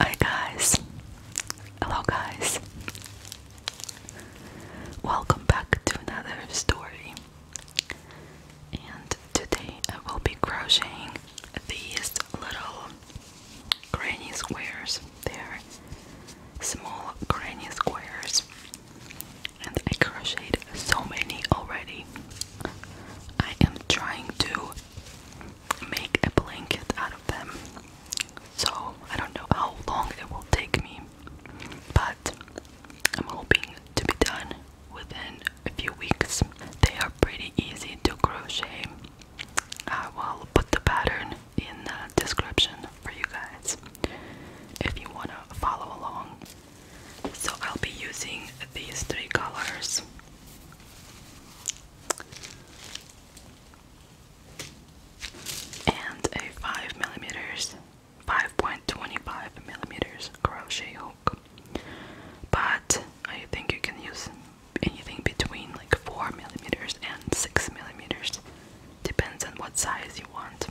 Hi guys. Hello guys. Welcome back to another story. And today I will be crocheting these little granny squares. They're small granny squares. And I crocheted so many already. I am trying to make a blanket out of them. So I don't know how long it will take me, but I'm hoping to be done within a few weeks. They are pretty easy to crochet. I will put the pattern in the description for you guys if you want to follow along. So I'll be using these three colors. And a 5 millimeters, 5.25 millimeters crochet hook. But I think you can use anything between like 4 millimeters and 6 millimeters Depends on what size you want.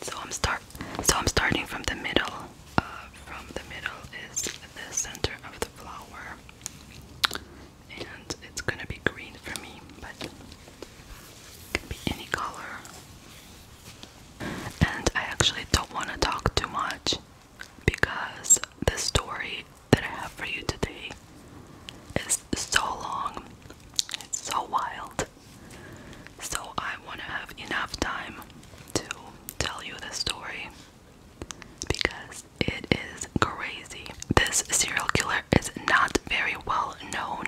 So I'm start. So I'm starting from the middle. Uh, from the middle is the center of the flower, and it's gonna be green for me, but it can be any color. And I actually don't want to talk too much because the story that I have for you today is so long, it's so wild. So I want to have enough time to tell you the story because it is crazy. This serial killer is not very well known.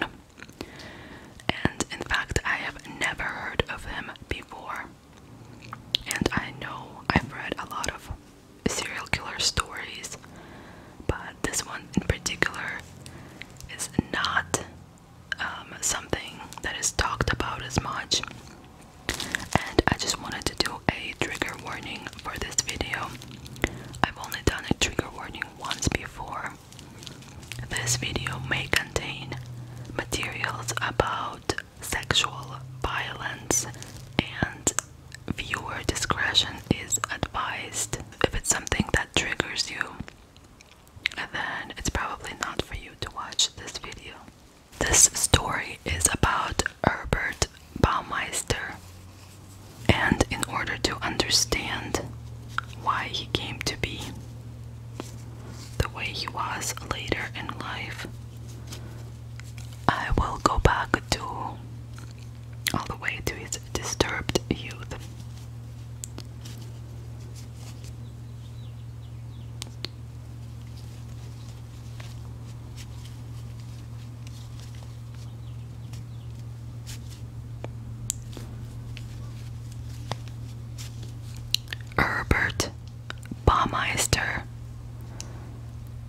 And in fact, I have never heard of them before. And I know I've read a lot of serial killer stories, but this one in particular is not um, something that is talked about as much. And I just wanted to do a trigger warning for this video. I've only done a trigger warning once before, this video may contain materials about sexual violence and viewer discretion is advised. If it's something that triggers you, then it's probably not for you to watch this video. This story is about Herbert Baumeister, and in order to understand why he came to be, the way he was later in life. I will go back to all the way to his disturbed youth. Herbert Baumeister.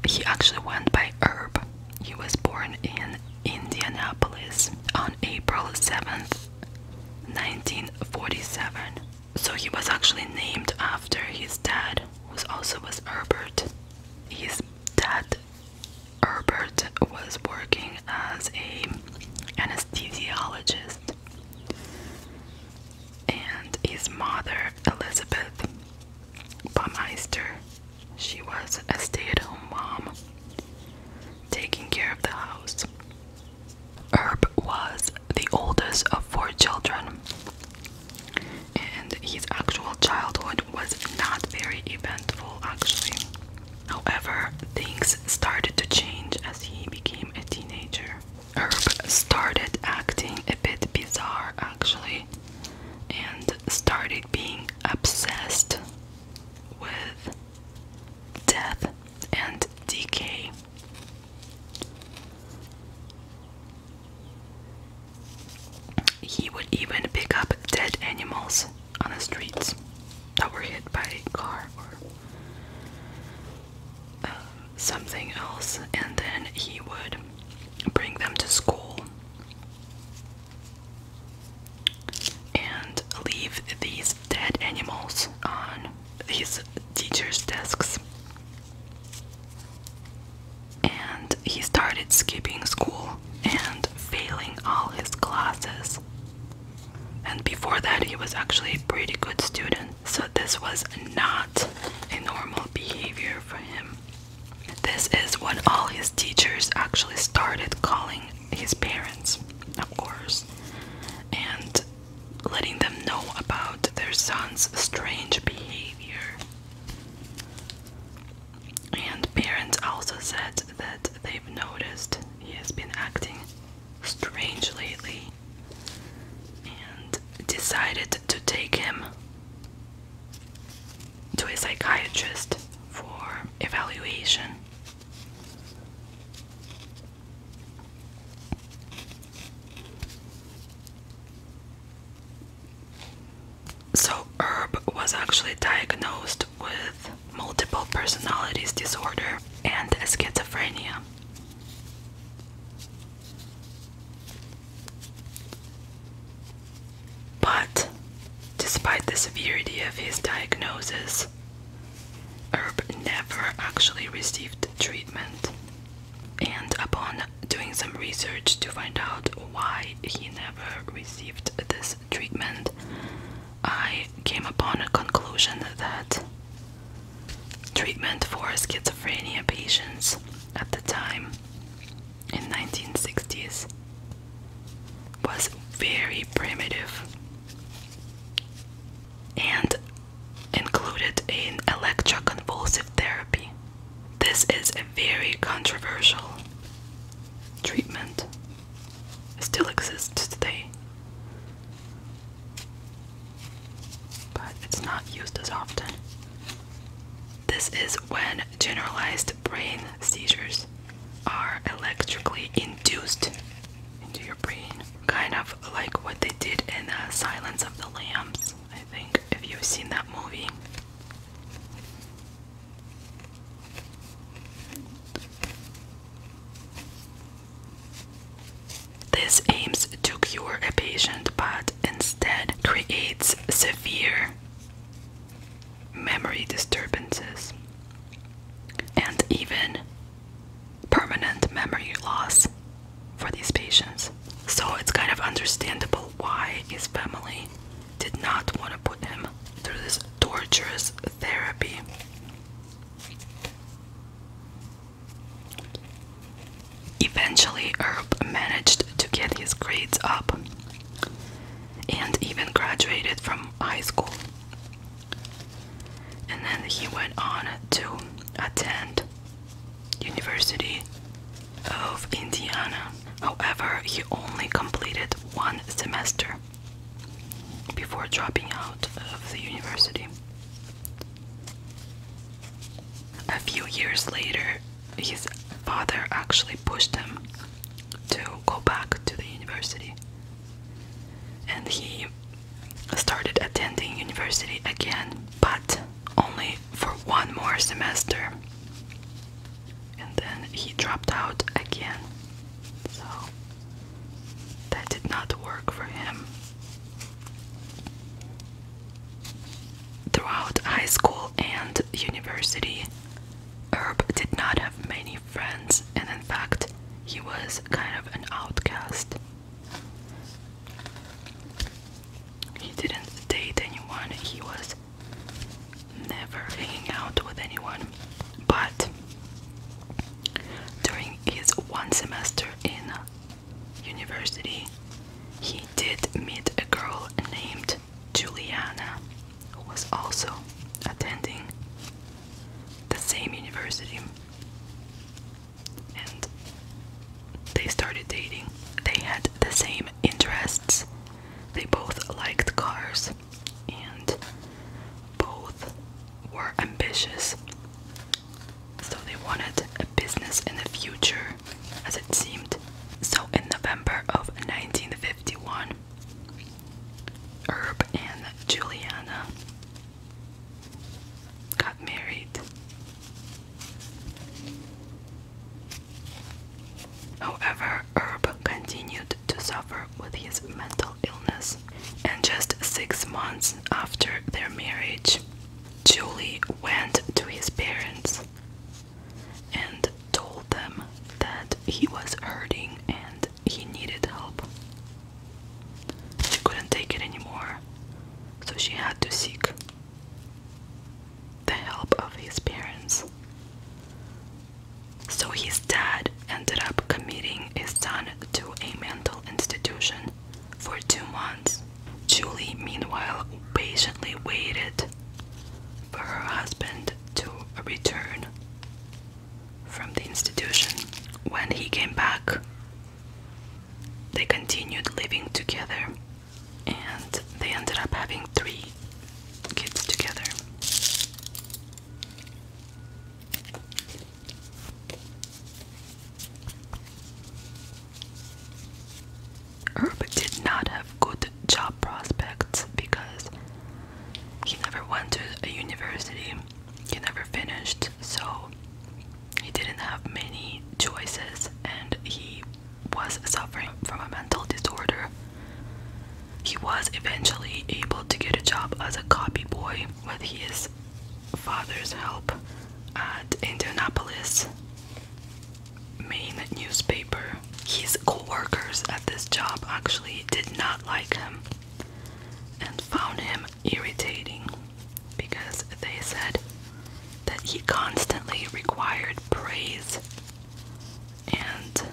He actually went by Herb. He was born in Indianapolis on April 7th, 1947. So he was actually named after his dad, who also was Herbert. His dad, Herbert, was working as a anesthesiologist and his mother, Elizabeth Baumeister, she was a stay at home mom taking care of the house. Herb was the oldest of four children, and his actual childhood was not very eventful, actually. However, things started to change as he became a teenager. Herb started acting a bit bizarre actually and started being obsessed with death and decay. He would even pick up dead animals on the streets that were hit by a car or something else, and then he would bring them to school and leave these dead animals on his teacher's desks. And he started skipping school and failing all his classes. And before that, he was actually a pretty good student. So this was not a normal behavior for him. This is when all his teachers actually started calling his parents, of course, and letting them know about their son's strange behavior. And parents also said that they've noticed he has been acting strange lately and decided to take him to a psychiatrist for evaluation. So, Herb was actually diagnosed with multiple personalities disorder and schizophrenia. But, despite the severity of his diagnosis, Herb never actually received treatment. And upon doing some research to find out why he never received this treatment, I came upon a conclusion that Treatment for schizophrenia patients at the time in 1960s was very primitive and included in electroconvulsive therapy. This is a very controversial treatment. still exists today but it's not used as often. This is when generalized brain seizures are electrically induced into your brain, kind of like what they did in uh, Silence of the Lambs, I think, if you seen that movie. This aims to cure a patient but instead creates severe memory disturbances and even permanent memory loss for these patients. So it's kind of understandable why his family did not want to put him through this torturous therapy. Eventually, Herb managed to get his grades up and even graduated from high school. And then he went on to attend University of Indiana. However, he only completed one semester before dropping out of the university. A few years later, his father actually pushed him to go back to the university. And he started attending university again, but only for one more semester. And then he dropped out again. So that did not work for him. Throughout high school and university, Herb did not have many friends, and in fact, he was kind of an outcast. He didn't date anyone, he was never hanging out with anyone. But during his one semester in university, he did meet a girl named Juliana who was also attending the same university. And they started dating. They had the same interests. They both liked cars and both were ambitious so they wanted a business in the future, as it seemed. So in November of 1951, Herb and Juliana got married. However, Herb continued to suffer with his mental illness and just six months after their marriage, Julie went to his parents and told them that he was hurting and he needed help. She couldn't take it anymore, so she had to seek the help of his parents. So his dad ended up committing his son to a mental institution for two months. Julie, meanwhile, patiently waited for her husband to return from the institution. When he came back, they continued living together and they ended up having three kids together. Herb did not have good job prospects because he never went to a university, he never finished, so he didn't have many choices and he was suffering from a mental disorder. He was eventually able to get a job as a copy boy with his father's help at Indianapolis main newspaper. His coworkers at this job actually did not like him and found him irritating because they said that he constantly required praise and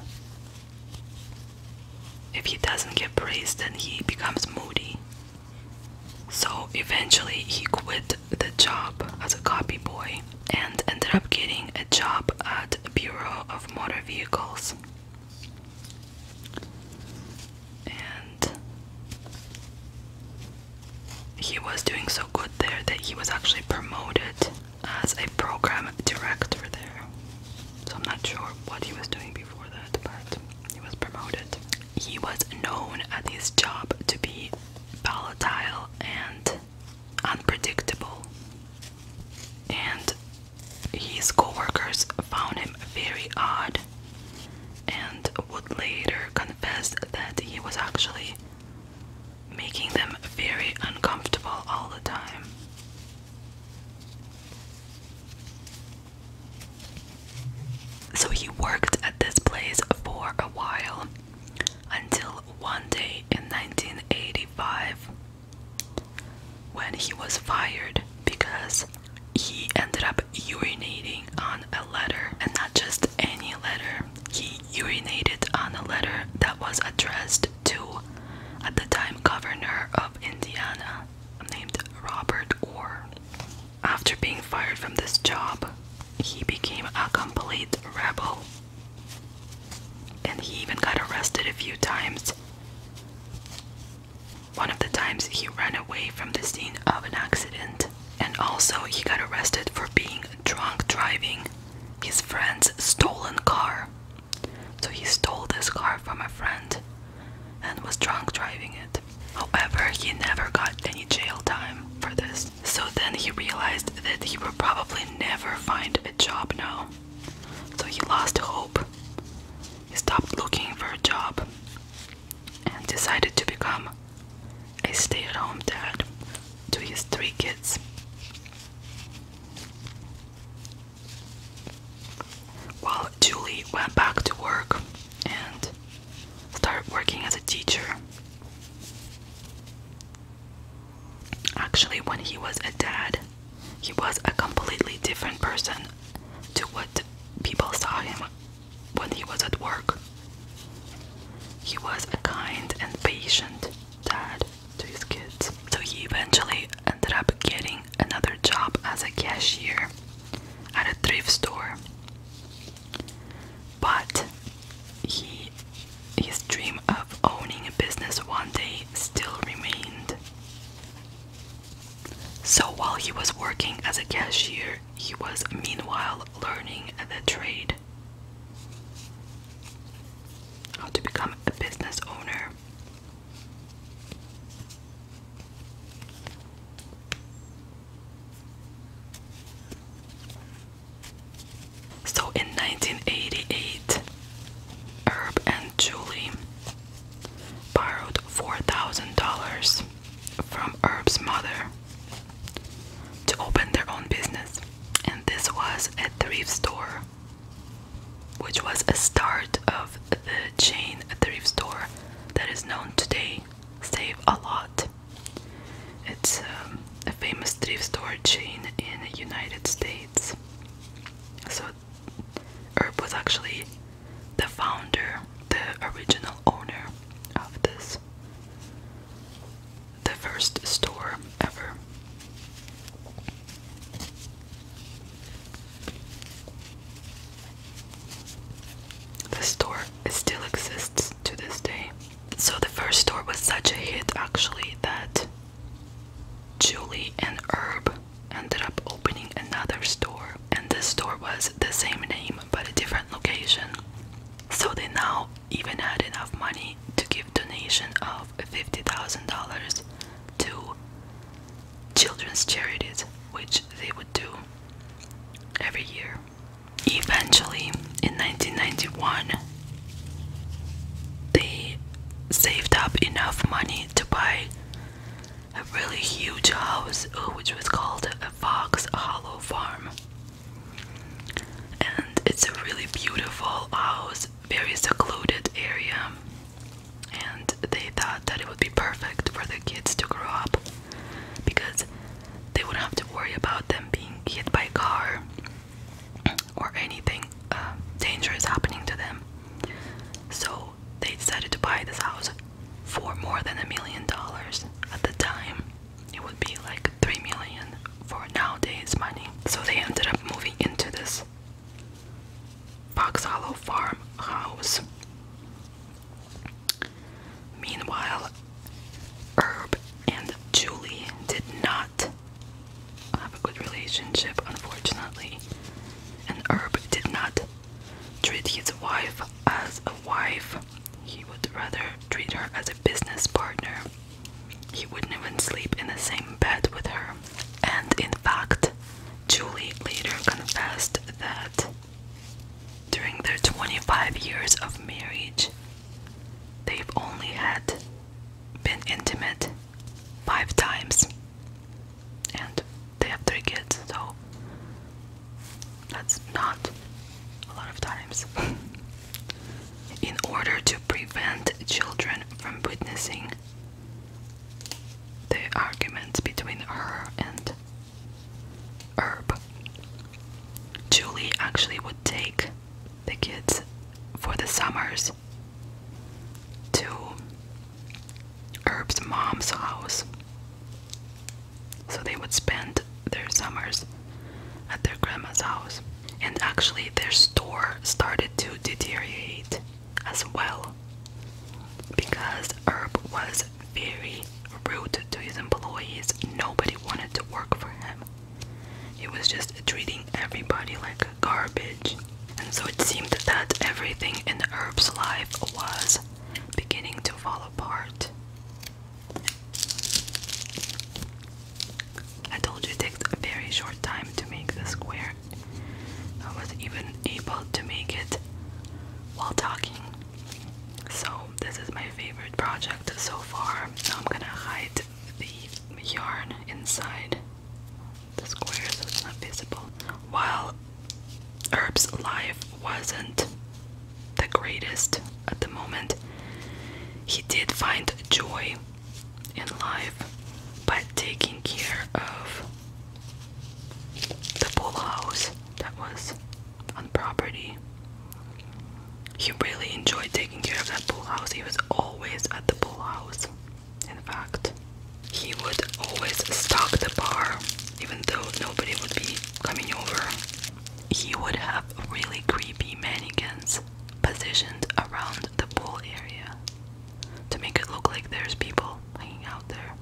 if he doesn't get praise then he becomes moody so eventually, he quit the job as a copy boy and ended up getting a job at Bureau of Motor Vehicles. And he was doing so good there that he was actually promoted as a program director there. So I'm not sure what he was doing before that, but he was promoted he was known at his job to be volatile and unpredictable, and his coworkers found him very odd and would later confess that he was actually making them very uncomfortable all the time. So he worked at this place for a while until one day in 1985 when he was fired because he ended up urinating on a letter and not just any letter he urinated on a letter that was addressed to at the time governor of Indiana named Robert Orr after being fired from this job, he became a complete rebel. And he even got arrested a few times. One of the times he ran away from the scene of an accident, and also he got arrested for being drunk driving his friend's stolen car. So he stole this car from a friend and was drunk driving it. However, he never got any jail time for this. So then he realized that he would probably never find a job now. So he lost hope. He stopped looking for a job and decided to become a stay at home dad to his three kids. While Julie went back to work and start working as a teacher. Actually, when he was a dad, he was a completely different person to what people saw him when he was at work. He was a kind and patient dad to his kids. So he eventually ended up getting another job as a cashier at a thrift store. But his dream of owning a business one day still remained. So while he was working as a cashier, he was meanwhile learning the trade. How to become a business owner. So in 1988, Herb and Julie borrowed $4,000 from Herb's mother to open their own business, and this was a thrift store, which was a start of the chain thrift store that is known today save a lot. It's um, a famous thrift store chain in the United States. So Herb was actually the founder, the original owner of this, the first store ever. The store still exists to this day. So the first store was such a hit actually that Julie and Herb ended up opening another store, and this store was the same name but a different location. So they now even had enough money to give donation of fifty thousand dollars to children's charities, which they would do every year. Eventually, in 1991, they saved up enough money to buy a really huge house, uh, which was called a Fox Hollow Farm. And it's a really beautiful house, very secluded area. And they thought that it would be perfect for the kids to grow up because they wouldn't have to worry about them being hit by a car or anything uh, dangerous happening to them. So they decided to buy this house for more than a million dollars at the time. It would be like three million for nowadays money. So they ended up moving into this Fox Hollow House. Meanwhile, Herb and Julie did not have a good relationship, unfortunately, and Herb did not treat his wife as a wife. He would rather treat her as a business partner. He wouldn't even sleep in the same bed with her. And in fact, Julie later confessed that during their 25 years of marriage, they've only had been intimate five times. And they have three kids, so that's not a lot of times. In order to prevent children from witnessing the arguments between her and herb. Julie actually would take the kids for the summers to Herb's mom's house. So they would spend their summers at their grandma's house. And actually, their store started to deteriorate as well because Herb was very rude to his employees. Nobody wanted to work for him. He was just treating everybody like garbage. And so it seemed that everything in Herb's life was beginning to fall apart. I told you it takes a very short time to make the square. I was even able to make it while talking. So this is my favorite project so far. I'm gonna hide the yarn inside the squares, so it's not visible. While Herb's life wasn't the greatest at the moment, he did find joy in life by taking care of the pool house that was on property he really enjoyed taking care of that pool house. He was always at the pool house. In fact, he would always stock the bar, even though nobody would be coming over. He would have really creepy mannequins positioned around the pool area to make it look like there's people hanging out there.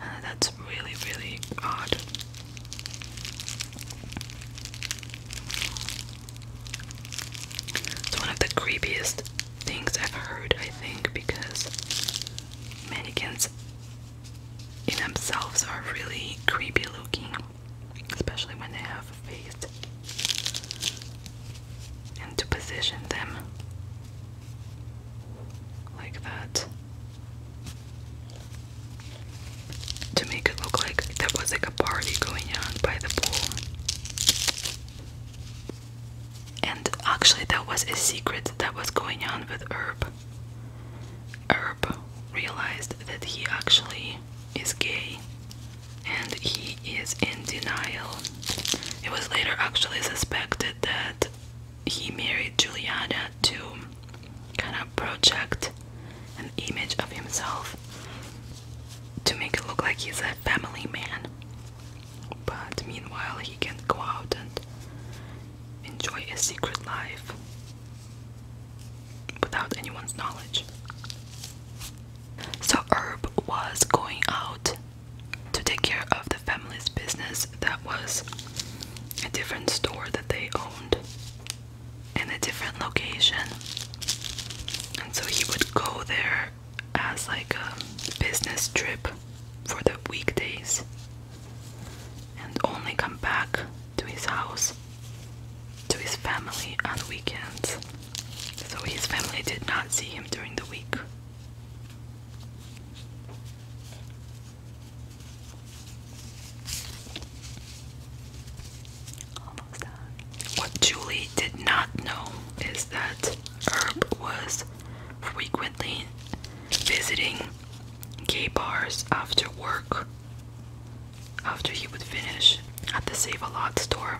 And really, really odd. It's one of the creepiest things I've heard, I think, because mannequins in themselves are really creepy looking, especially when they have a face. And to position them like that to make it look like there was like a party going on by the pool. And actually, that was a secret that was going on with Herb. Herb realized that he actually is gay and he is in denial. It was later actually suspected that he married Juliana too kind of project an image of himself to make it look like he's a family man. But meanwhile, he can go out and enjoy a secret life without anyone's knowledge. So, Herb was going out to take care of the family's business that was a different store that they owned in a different location. And so he would go there as like a business trip for the weekdays and only come back to his house to his family on weekends. So his family did not see him during the week. What Julie did not know is that Herb was frequently visiting gay bars after work, after he would finish at the Save a Lot store,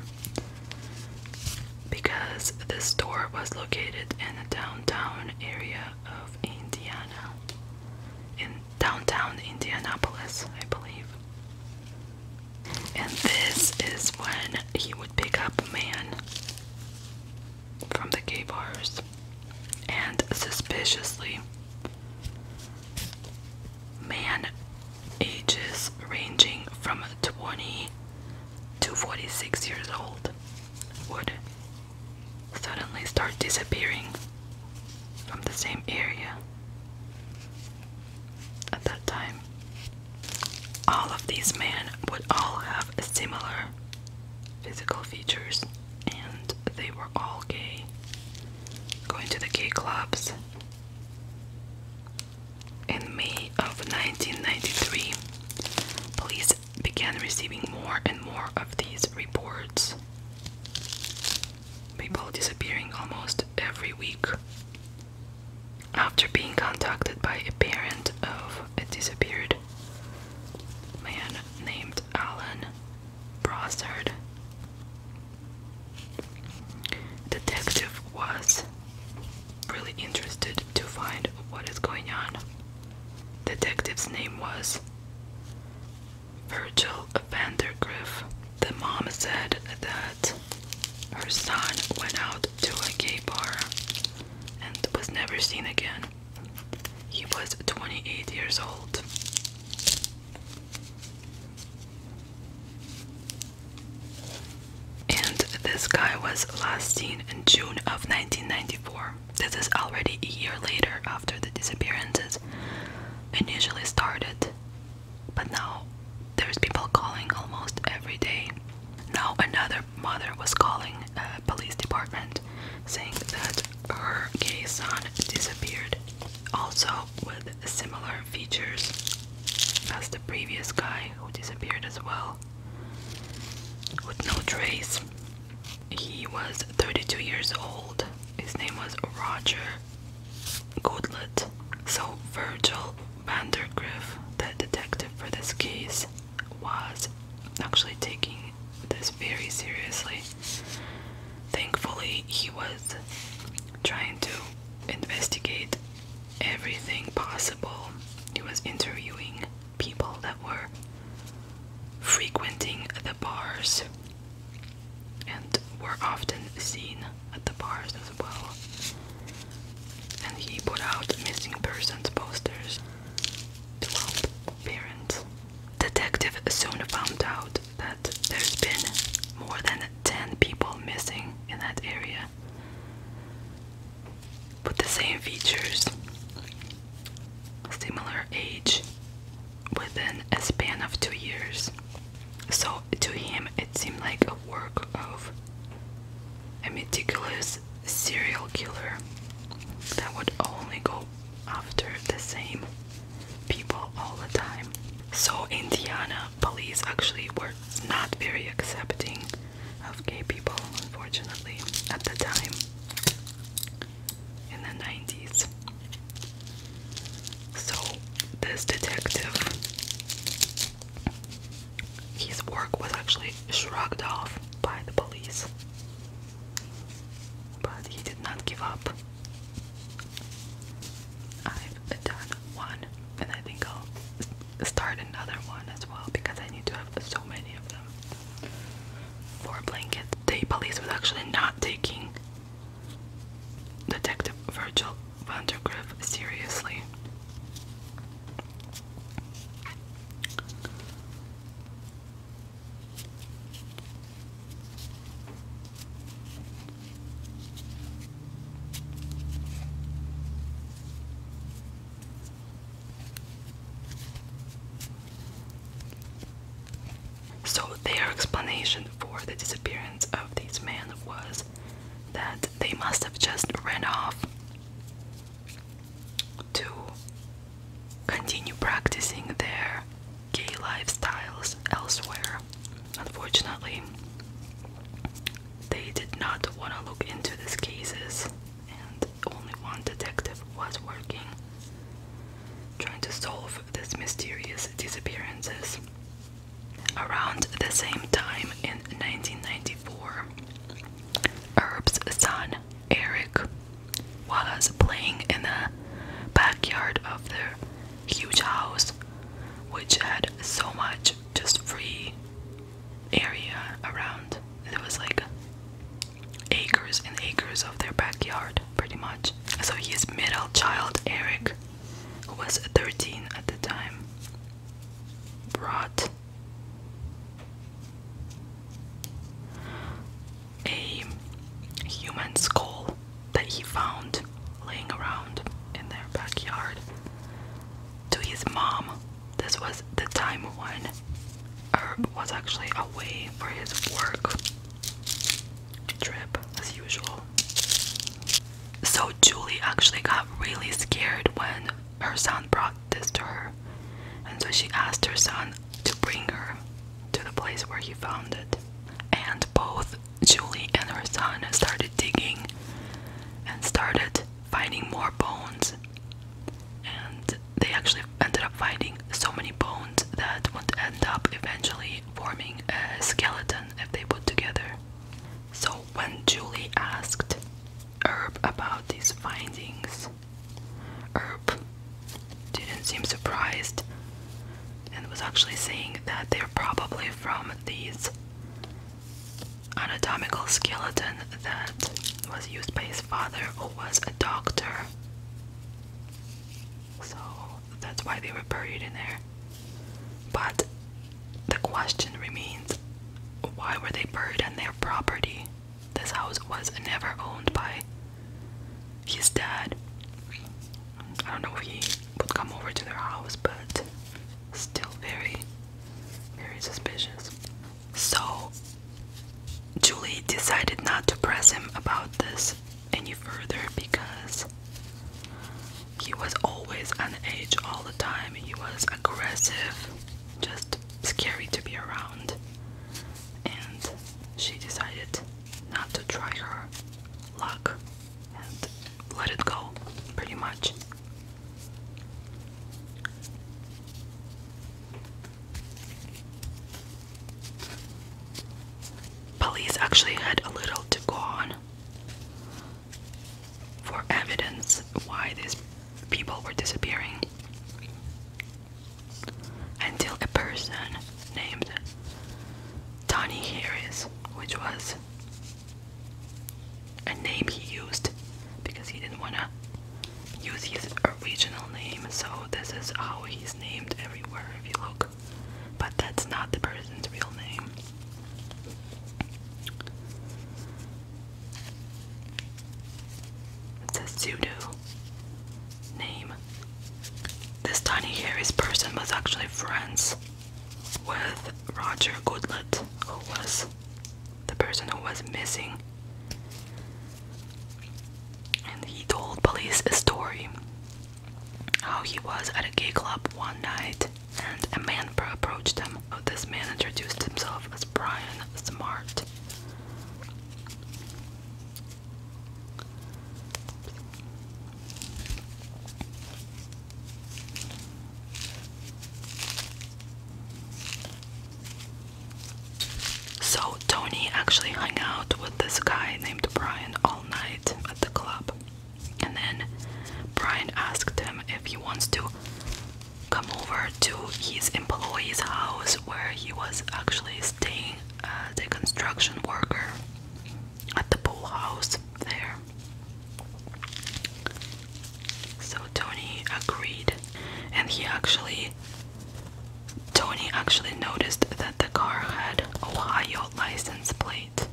because this store was located in the downtown area of Indiana. In downtown Indianapolis, I believe. And this is when he would pick up man from the gay bars and suspiciously man ages ranging from 20 to 46 years old would suddenly start disappearing from the same area at that time. All of these men would all have similar physical features, and they were all gay. Going to the gay clubs. In May of 1993, police began receiving more and more of these reports people disappearing almost every week. After being contacted by a parent of a disappeared man named Alan Brossard, detective was really interested to find what is going on. Detective's name was Virgil Vandergriff. The mom said that her son went out to a gay bar and was never seen again. He was 28 years old. And this guy was last seen in June of 1994. This is already a year later after the disappearances initially started, but now there's people calling almost every day. Now another mother was calling a uh, police department saying that her gay son disappeared, also with similar features as the previous guy who disappeared as well, with no trace. He was 32 years old. His name was Roger Goodlet. So, Virgil Vandergriff, the detective for this case, was actually taking this very seriously. Thankfully, he was trying to investigate everything possible. He was interviewing people that were frequenting the bars and were often seen at the bars as well. And he put out missing persons posters to help parents. Detective soon found out that there's been more than 10 people missing in that area with the same features, similar age, within a span of two years. So to him, it seemed like a work of a meticulous serial killer that would only go after the same people all the time. So, Indiana police actually were not very accepting of gay people, unfortunately, at the time in the 90s. So, this detective, his work was actually shrugged off by the police, but he did not give up. I've done one, and I think I'll start another one as well because I need to have so many of them. For a the police was actually not taking Detective Virgil Vandergriff seriously. So, their explanation for the disappearance of these men was that they must have just ran off to continue practicing their gay lifestyles elsewhere. Unfortunately, they did not want to look into these cases, and only one detective was working, trying to solve these mysterious disappearances. Around the same time in 1994, Herb's son Eric was playing in the backyard of their huge house, which had so much just free area around. There was like acres and acres of their backyard, pretty much. So he's middle child, Eric, who was 13 at the time, brought a human skull that he found laying around in their backyard to his mom. This was the time when Herb was actually away for his work trip as usual. So Julie actually got really scared when her son brought this to her. And so she asked her son to bring her to the place where he found it. And both Julie and her son started digging and started finding more bones. And they actually ended up finding so many bones that would end up eventually forming a skeleton if they put together. So when Julie asked Herb about these findings, Herb didn't seem surprised and was actually saying that they're probably from these anatomical skeleton that was used by his father who was a doctor so that's why they were buried in there. But the question remains why were they buried in their property? This house was never owned by his dad. I don't know if he would come over to their house, but still very, very suspicious. So Julie decided not to press him about this any further because he was always on edge all the time. He was aggressive, just scary to be around. And she decided not to try her luck and let it go, pretty much. Police actually had a little to go on for evidence why these people were disappearing until a person named Tony Harris, which was a name he used because he didn't want to use his original name, so this is how he's named everywhere if you look but that's not the person's real name. It's a pseudo name. This tiny Harry's person was actually friends with Roger Goodlett, who was the person who was missing. And he told police a story how he was at a gay club one night and a man approached him. Oh, this man introduced himself as Brian Smart. So Tony actually hung out with this guy named Brian all night at the club. And then Brian asked him if he wants to come over to his employee's house where he was actually staying as a construction worker at the pool house there. So Tony agreed, and he actually Tony actually noticed that the car had Ohio license plate.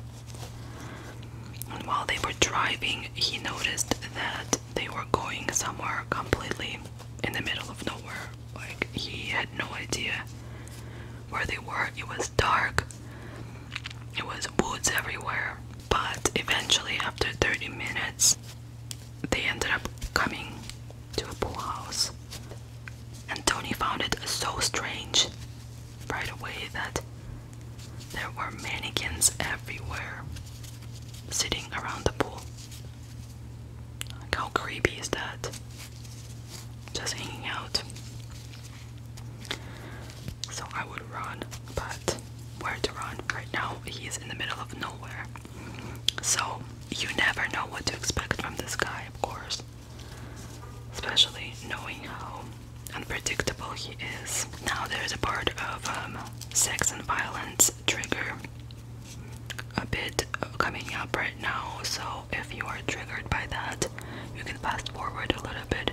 And while they were driving, he noticed that they were going somewhere completely in the middle of nowhere. Like, he had no idea where they were. It was dark, it was woods everywhere. But eventually, after 30 minutes, they ended up coming to a pool house. And Tony found it so strange right away that there were mannequins everywhere sitting around the pool. Like, how creepy is that? Just hanging out. So I would run, but where to run? Right now, he's in the middle of nowhere. So you never know what to expect from this guy, of course especially knowing how unpredictable he is. Now there's a part of um, sex and violence trigger a bit coming up right now, so if you are triggered by that, you can fast forward a little bit.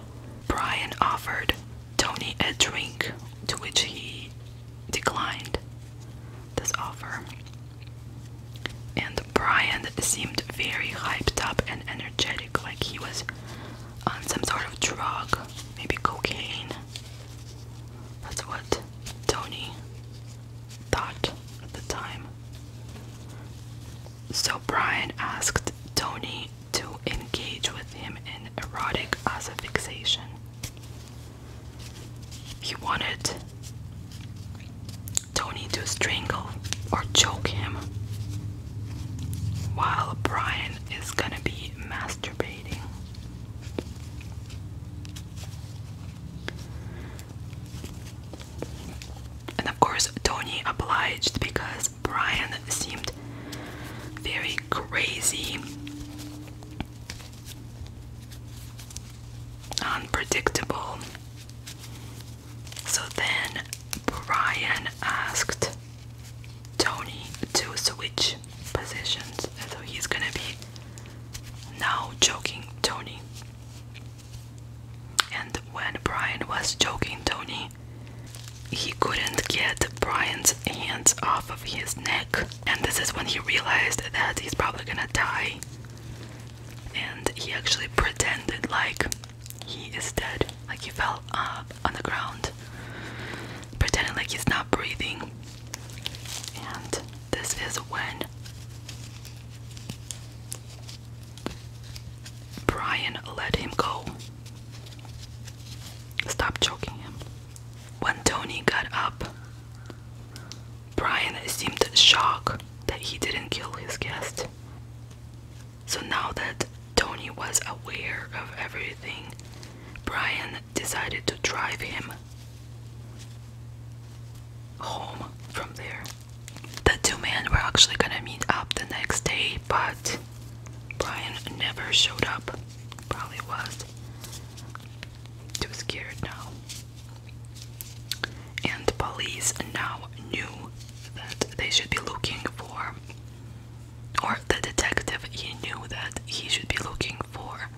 Brian offered Tony a drink, to which he declined this offer. And Brian seemed very hyped up and energetic like he was on some sort of drug, maybe cocaine. That's what Tony thought at the time. So Brian asked Tony to engage with him in erotic asphyxiation. He wanted Tony to strangle or choke him while Brian is gonna be masturbating. And of course, Tony obliged because Brian seemed very crazy, unpredictable, so then Brian asked Tony to switch positions. And so he's gonna be now joking Tony. And when Brian was joking Tony, he couldn't get Brian's hands off of his neck. And this is when he realized that he's probably gonna die. And he actually pretended like he is dead. Like he fell up uh, on the ground, pretending like he's not breathing. And this is when Brian let him go. Stop choking him. When Tony got up, Brian seemed shocked that he didn't kill his guest. So now that Tony was aware of everything, Brian decided to drive him home from there. The two men were actually gonna meet up the next day, but Brian never showed up. Probably was too scared now. And police now knew that they should be looking for, or the detective he knew that he should be looking for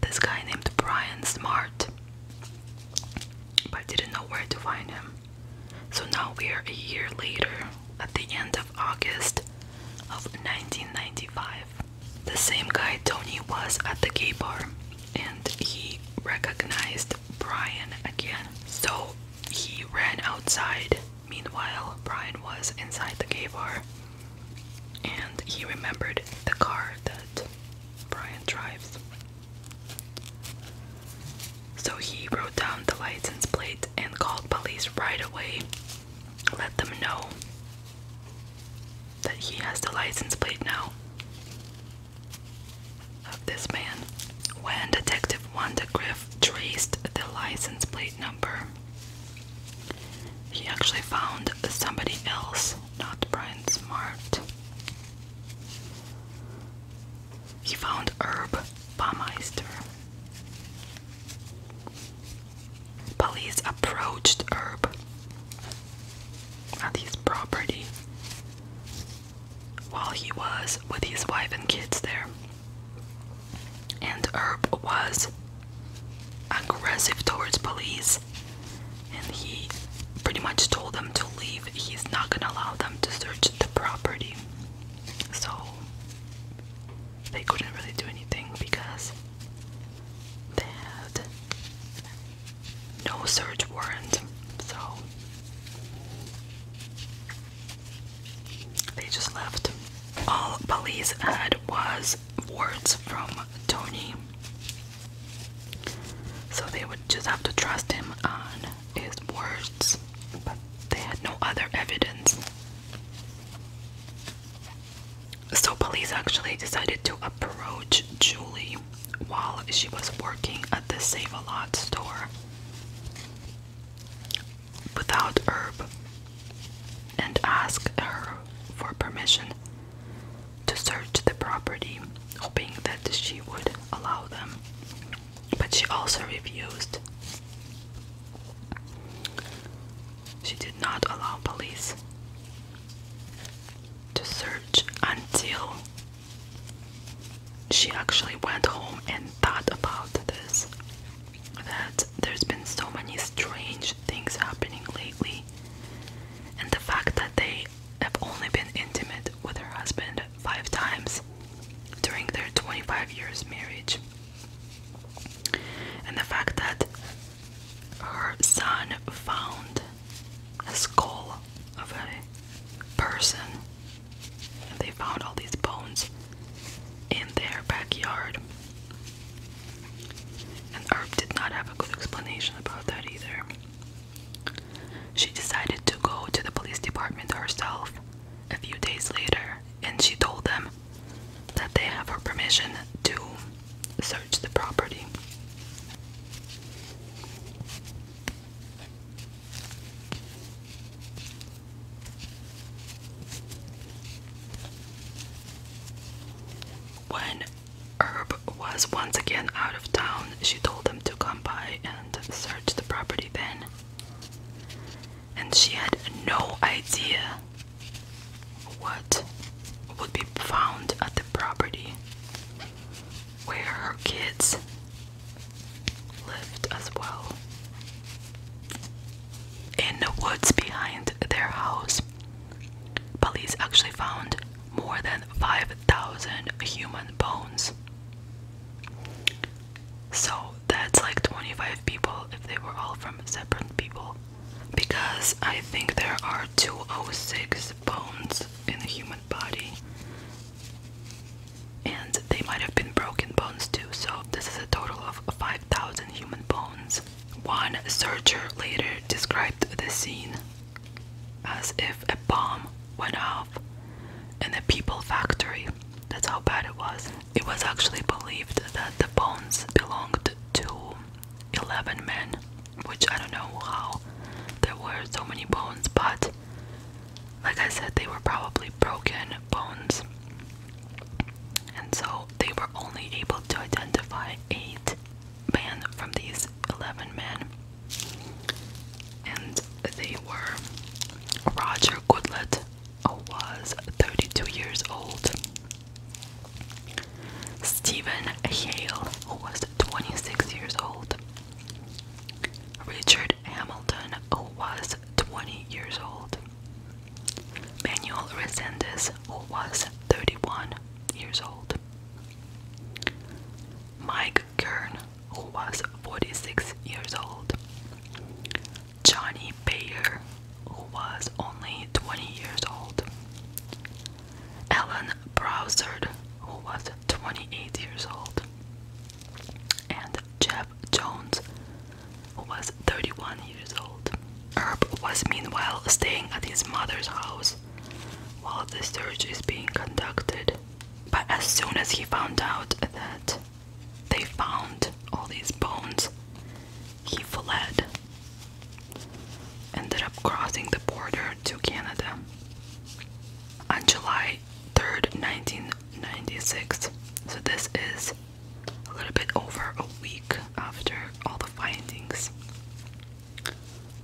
this guy named Brian Smart, but didn't know where to find him. So now we are a year later, at the end of August of 1995. The same guy Tony was at the gay bar, and he recognized Brian again. So he ran outside. Meanwhile, Brian was inside the gay bar and he remembered the car that Brian drives. So he wrote down the license plate and called police right away. Let them know that he has the license plate now of this man. When Detective Wanda Griff traced the license plate number, he actually found somebody else, not Brian Smart. He found Herb Baumeister. Police approached Herb at his property while he was with his wife and kids there. And Herb was aggressive towards police and he pretty much told them to leave. He's not gonna allow them to search the property. So they couldn't really do anything because they had no search warrant. So they just left. All police had was words from Tony. So they would just have to trust him on his words, but they had no other evidence. So police actually decided to approach Julie while she was working at the Save a Lot store without herb and asked her for permission to search the property, hoping that she would allow them. But she also refused. She did not allow police to search until she actually went home and thought about this that there's been so many strange things happening lately and the fact that they have only been intimate with her husband five times during their 25 years marriage and the fact that her son found a skull of a person they found all these bones in their backyard. And Herb did not have a good explanation about that either. She decided to go to the police department herself a few days later, and she told them that they have her permission to search the property. When Herb was once again out of town, she told him to come by and search the property then. And she had no idea what would be found at the property where are her kids lived as well. In the woods behind their house, police actually found more than 5,000 human bones. So that's like 25 people if they were all from separate people. Because I think there are 206 bones in a human body and they might have been broken bones too. So this is a total of 5,000 human bones. One searcher later described the scene as if a bomb went off in a people factory. That's how bad it was. It was actually believed that the bones belonged to 11 men, which I don't know how there were so many bones, but like I said, they were probably broken bones. And so they were only able to identify eight men from these 11 men. And they were Roger Goodlett, who was 32 years old, Stephen Hale, who was 26 years old, Richard Hamilton who was 20 years old. Manuel Resendez was 31 years old. Mike Kern who was 46 years old. Johnny who was only 20 years old. Alan Ellen who was 28 years old. And Jeff Jones was 31 years old. Herb was meanwhile staying at his mother's house while the search is being conducted. But as soon as he found out that they found all these bones, he fled. Ended up crossing the border to Canada. On July 3rd, 1996, so this is a little bit over a week after all the findings,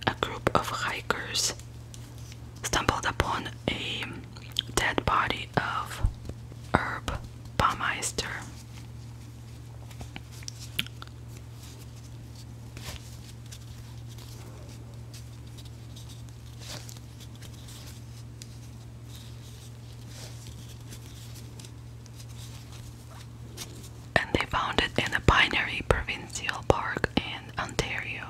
a group of hikers stumbled upon a dead body of Herb Baumeister. And they found it in a binary provincial park in Ontario,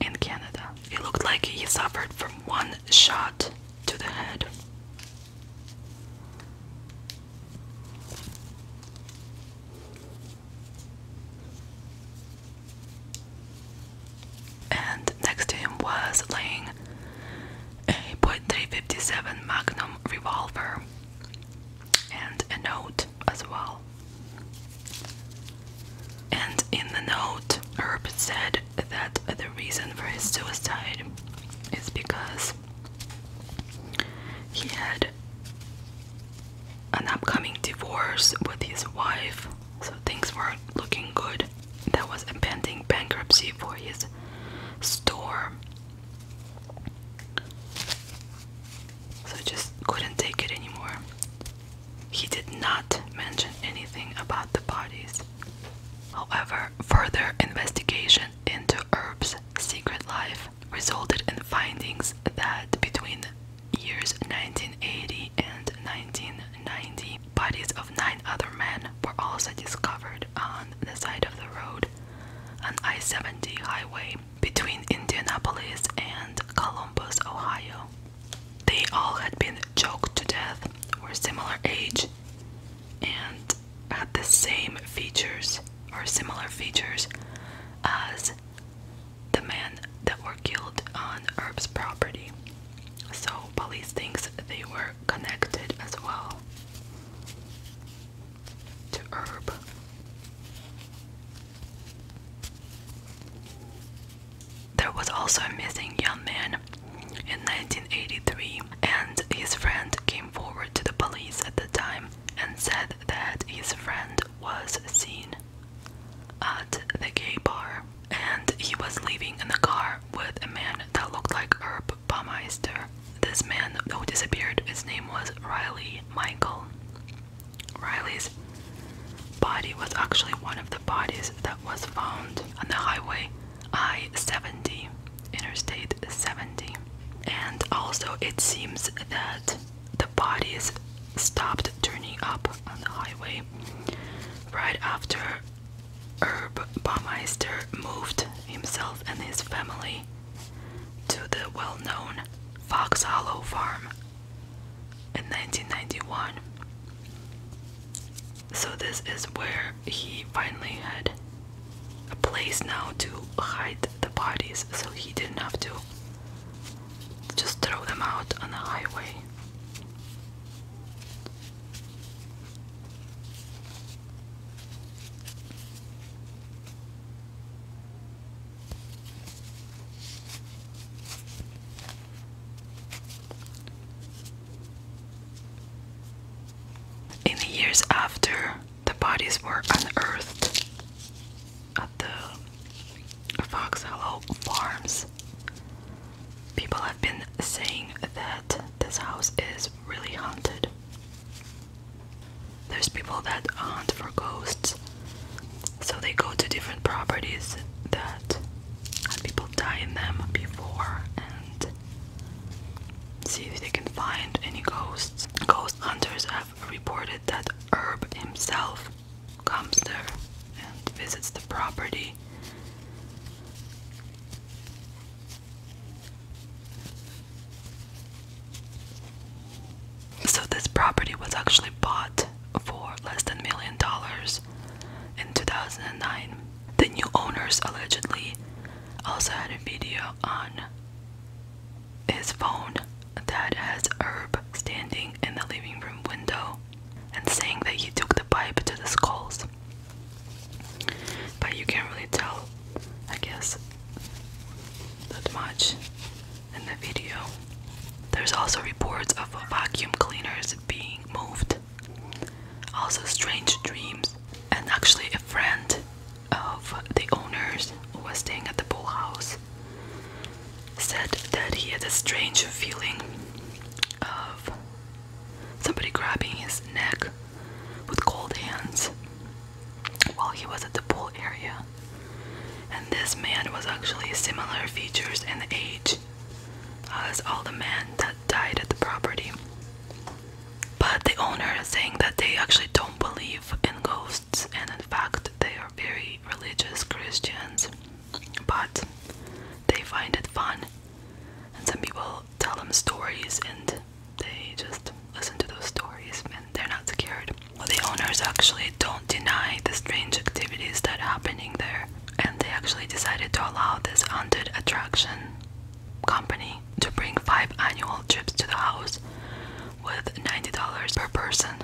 in Canada. He looked like he suffered from one shot to the head and next to him was laying a .357 Magnum revolver and a note as well. And in the note, Herb said that the reason for his suicide is because he had an upcoming divorce with his wife so things weren't looking good. There was impending bankruptcy for his store. So just couldn't take it anymore. He did not mention anything about the parties. However, further investigation into Herb's secret life resulted in findings that between years 1980 and 1990, bodies of nine other men were also discovered on the side of the road, on I 70 highway between Indianapolis and Columbus, Ohio. They all had been choked to death, were similar age, and had the same features or similar features as the men that were killed on Herb's property. So police thinks they were connected as well to herb. There was also a missing young man in 1983 and his friend came forward to the police at the time and said that his friend was seen at the gay bar and he was leaving in the car with a man that looked like Herb Baumeister. This man who disappeared, his name was Riley Michael. Riley's body was actually one of the bodies that was found on the highway I 70, Interstate 70. And also, it seems that the bodies stopped turning up on the highway right after Herb Baumeister moved himself and his family to the well known Fox Hollow farm in 1991. So, this is where he finally had a place now to hide the bodies so he didn't have to just throw them out on the highway. In the years after, the bodies were unearthed at the Fox Hollow Farms. People have been saying that this house is really haunted. There's people that hunt for ghosts, so they go to different properties that had people die in them before and see if they can find any ghosts. Ghost hunters have reported that Herb himself comes there and visits the property so this property was actually bought for less than a million dollars in 2009. The new owners allegedly also had a video on his phone that has Herb standing in the living room window and saying that he took the pipe to the skulls. But you can't really tell, I guess, that much in the video. There's also reports of vacuum cleaners being moved, also strange dreams, and actually a friend of the owners who was staying at the pool house said that he had a strange feeling of somebody grabbing his neck with cold hands while he was at the pool area. And this man was actually similar features and age as all the men that died at the property. But the owner is saying that they actually don't believe in ghosts, and in fact, they are very religious Christians. But they find it fun and some people tell them stories and they just listen to those stories and they're not scared. Well, the owners actually don't deny the strange activities that are happening there, and they actually decided to allow this haunted attraction company to bring five annual trips to the house with $90 per person.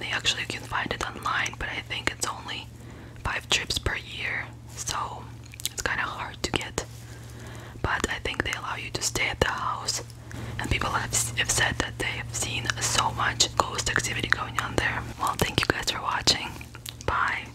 they actually can find it online, but I think it's only five trips per year so it's kind of hard to get. But I think they allow you to stay at the house, and people have, have said that they have seen so much ghost activity going on there. Well, thank you guys for watching. Bye.